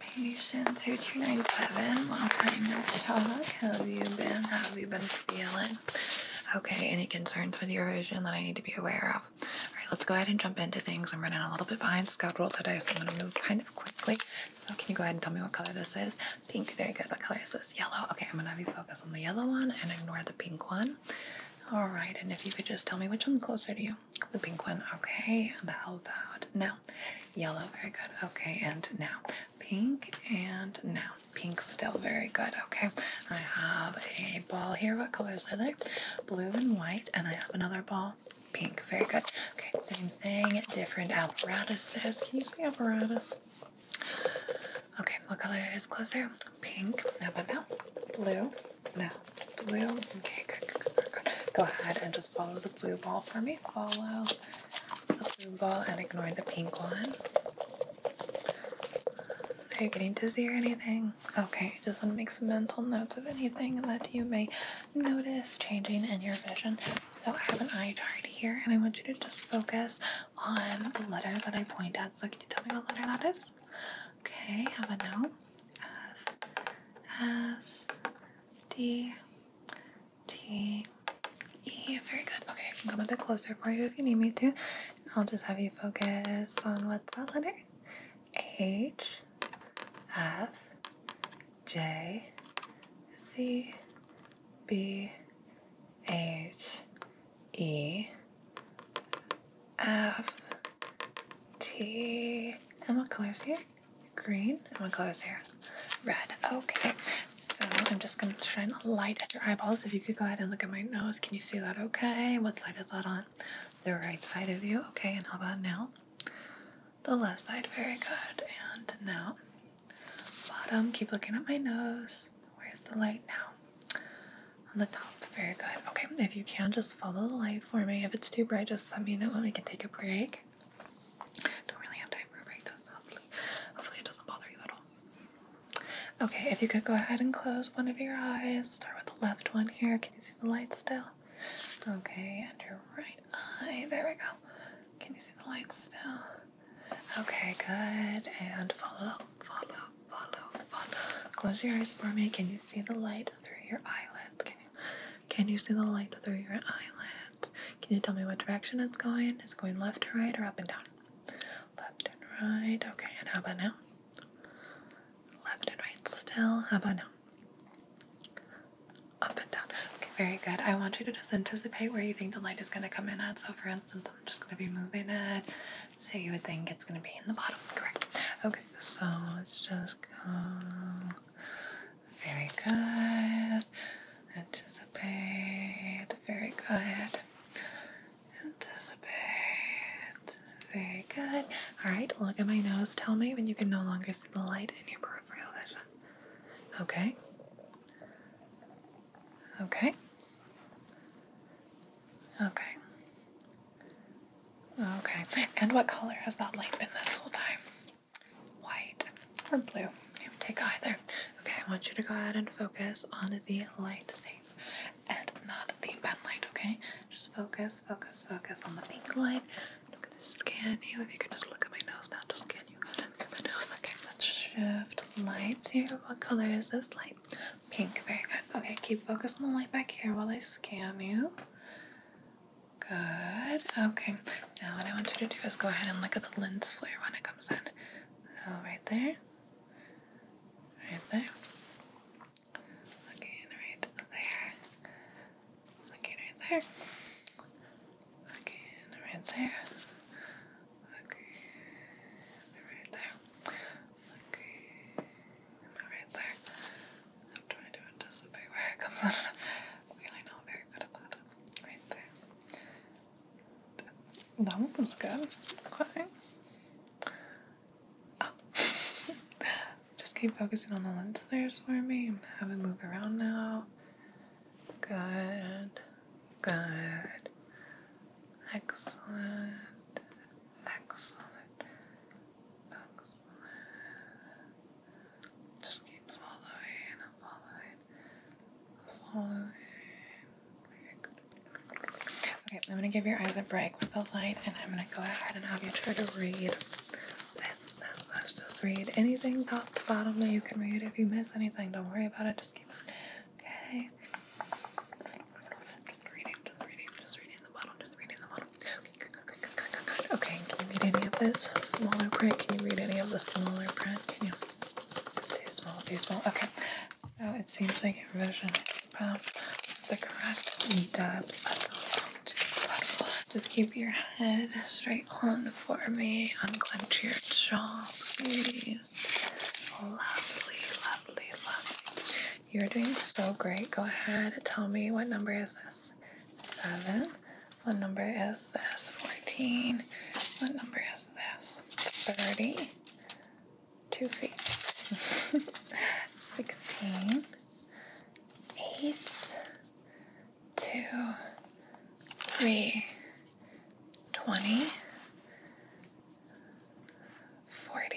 Patient 2297, long time no talk. How have you been? How have you been feeling? Okay, any concerns with your vision that I need to be aware of? Alright, let's go ahead and jump into things. I'm running a little bit behind schedule today, so I'm going to move kind of quickly. So, can you go ahead and tell me what color this is? Pink, very good. What color is this? Yellow. Okay, I'm going to have you focus on the yellow one and ignore the pink one. Alright, and if you could just tell me which one's closer to you the pink one, okay, and how about now? Yellow, very good, okay, and now pink, and now pink, still very good, okay. I have a ball here, what colors are they? Blue and white, and I have another ball, pink, very good, okay, same thing, different apparatuses. Can you see apparatus? Okay, what color it is closer? Pink, how but now? Blue, now, blue. Okay, Go ahead and just follow the blue ball for me. Follow the blue ball and ignore the pink one. Are you getting dizzy or anything? Okay, just want to make some mental notes of anything that you may notice changing in your vision. So I have an eye chart here, and I want you to just focus on the letter that I point at. So can you tell me what letter that is? Okay, Have a now? F S D T E. Very good. Okay, come a bit closer for you if you need me to. I'll just have you focus on what's that letter? H F J C B H E F T. And what color is here? Green. And what color is here? Red. Okay. So I'm just going to shine a light at your eyeballs. If you could go ahead and look at my nose. Can you see that okay? What side is that on? The right side of you. Okay. And how about now? The left side. Very good. And now, bottom. Keep looking at my nose. Where's the light now? On the top. Very good. Okay. If you can, just follow the light for me. If it's too bright, just let me know and we can take a break. Don't really have time for a break, though, hopefully, hopefully it doesn't bother you at all. Okay, if you could go ahead and close one of your eyes. Start with the left one here. Can you see the light still? Okay, and your right eye. There we go. Can you see the light still? Okay, good. And follow, follow, follow, follow. Close your eyes for me. Can you see the light through your eyelids? Can you, can you see the light through your eyelids? Can you tell me what direction it's going? Is it going left or right or up and down? Left and right. Okay, and how about now? Left and right still. How about now? Up and down. Okay, very good. I want you to just anticipate where you think the light is going to come in at. So, for instance, I'm just going to be moving it so you would think it's going to be in the bottom, correct? Okay, so let's just go. Very good. Anticipate. Very good. Anticipate. Very good. Alright, look at my nose. Tell me when you can no longer see the light in your peripheral vision. Okay. Okay. Okay. Okay. And what color has that light been this whole time? White or blue? You take either. Okay, I want you to go ahead and focus on the light safe and not the pen light, okay? Just focus, focus, focus on the pink light. I'm gonna scan you. If you can just look at my nose now, to scan you. my nose. Okay, let's shift lights here. What color is this light? Pink, very good. Okay, keep focus on the light back here while I scan you. Good. Okay, now what I want you to do is go ahead and look at the lens flare when it comes in. So, oh, right there. Right there. Looking right there. Looking right there. Looking right there. Looking right there. Looking right there. I'm trying to anticipate where it comes out. really not very good at that. Right there. That one was good. Okay. Oh. Just keep focusing on the lens There's for me. Have it move around now. Good. Good. Excellent. Excellent. Excellent. Just keep following and following. Following. Okay, I'm gonna give your eyes a break with the light and I'm gonna go ahead and have you try to read. That's, that's, just read anything top to bottom that you can read. If you miss anything, don't worry about it. Just keep on Okay. Just reading, just reading, just reading the bottle, just reading the bottle. Okay, can you read any of this smaller print? Can you read any of the smaller print? Can you? Too small, too small. Okay. So it seems like your vision is about the correct depth. Just keep your head straight on for me. Unclench your jaw, please. Lovely, lovely lovely, You're doing so great. Go ahead, and tell me what number is this? Seven. What number is this? 14. What number is this? 30. Two feet. 16. Eight. Two. Three. 20, 40,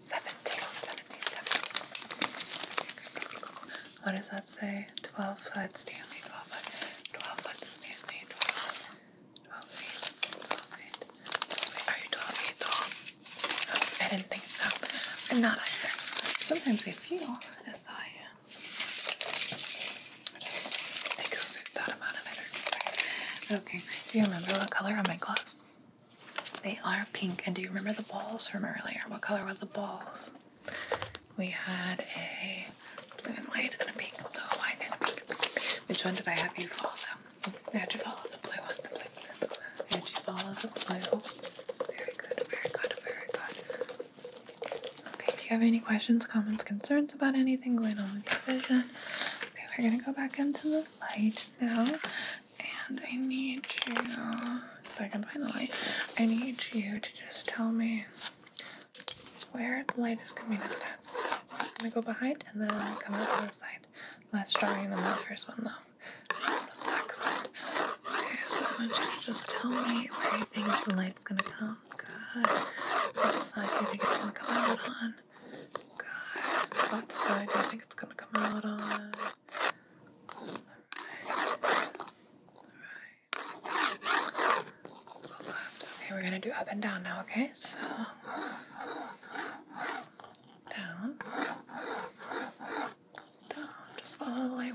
17, 17, 17. What does that say? 12 foot Stanley, 12 foot, 12 foot Stanley, 12, 12 feet, 12 feet, 12 feet. Are you 12 feet tall? I didn't think so. I'm not either. Sometimes I feel as I am. I just exude that amount of energy. Okay, do you remember what color are my gloves? They are pink. And do you remember the balls from earlier? What color were the balls? We had a blue and white and a pink, blue white and pink. Which one did I have you follow? I had you follow the blue one. The blue. I had you follow the blue. Very good, very good, very good. Okay, do you have any questions, comments, concerns about anything going on with your vision? Okay, we're gonna go back into the light now. And I need you, if I can find the light, I need you to just tell me where the light is coming out at. So it's gonna go behind and then come out to the side. Less drawing than the first one though. the back side. Okay, so I want you to just tell me where you think the light's gonna come. Good. What side do you think it's gonna come out on? Good. What side do you think it's gonna come out on? Alright. Alright. Okay, we're gonna do up and down now, okay? So down. Down. Just follow the light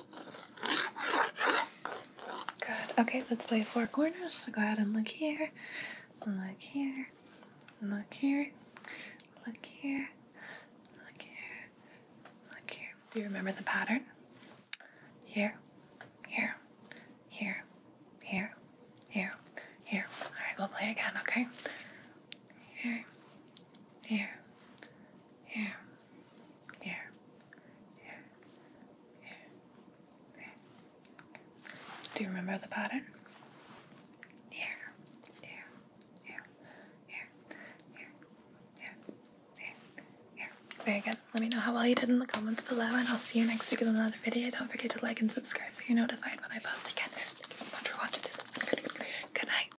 Good. Okay, let's play four corners. So go ahead and look here, look here, look here, look here, look here, look here. Do you remember the pattern? Here, here, here, here, here, here. All right, we'll play again, okay? Here, here, here. Here. Here. Here. There. Do you remember the pattern? Here. Here. Here. Here. Here. Here. Here. Very good. Let me know how well you did in the comments below, and I'll see you next week in another video. Don't forget to like and subscribe so you're notified when I post again. Thank you so much for watching. Good night.